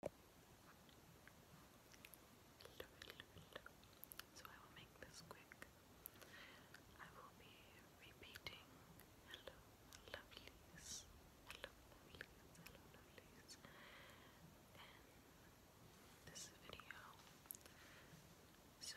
So I will make this quick. I will be repeating hello lovelies, hello lovelies, hello lovelies in this video. So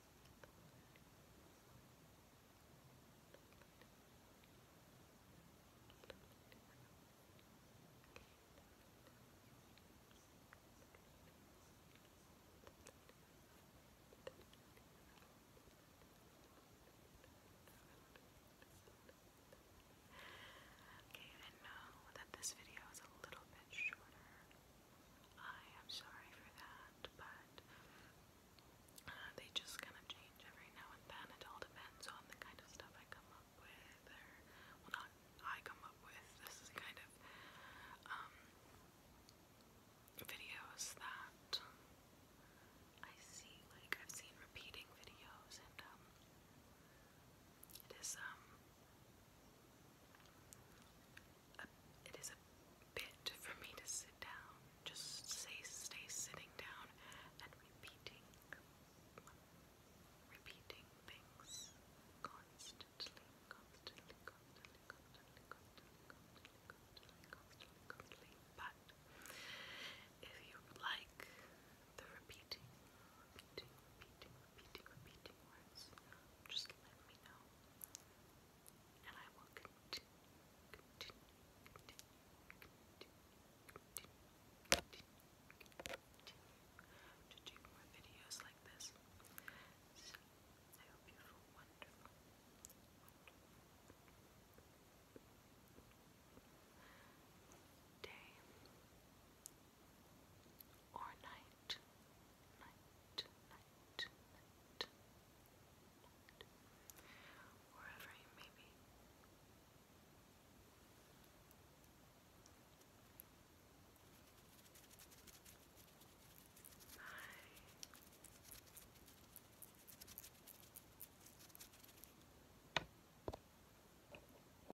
Okay, I know that this video is a little bit shorter I am sorry for that, but uh, they just kind of change every now and then. It all depends on the kind of stuff I come up with, or well, not I come up with. This is kind of um, videos that I see. Like I've seen repeating videos, and um, it is um it is a bit for me to sit down, just say, stay sitting down and repeating, repeating things constantly, constantly, constantly, constantly, constantly, constantly, constantly, constantly. But if you like the repeating, repeating, repeating, repeating, just let me know. And I will continue, continue, continue, continue, continue, continue to do more videos like this. I hope you feel wonderful, wonderful day or night, night, night, wherever you may be. Bye.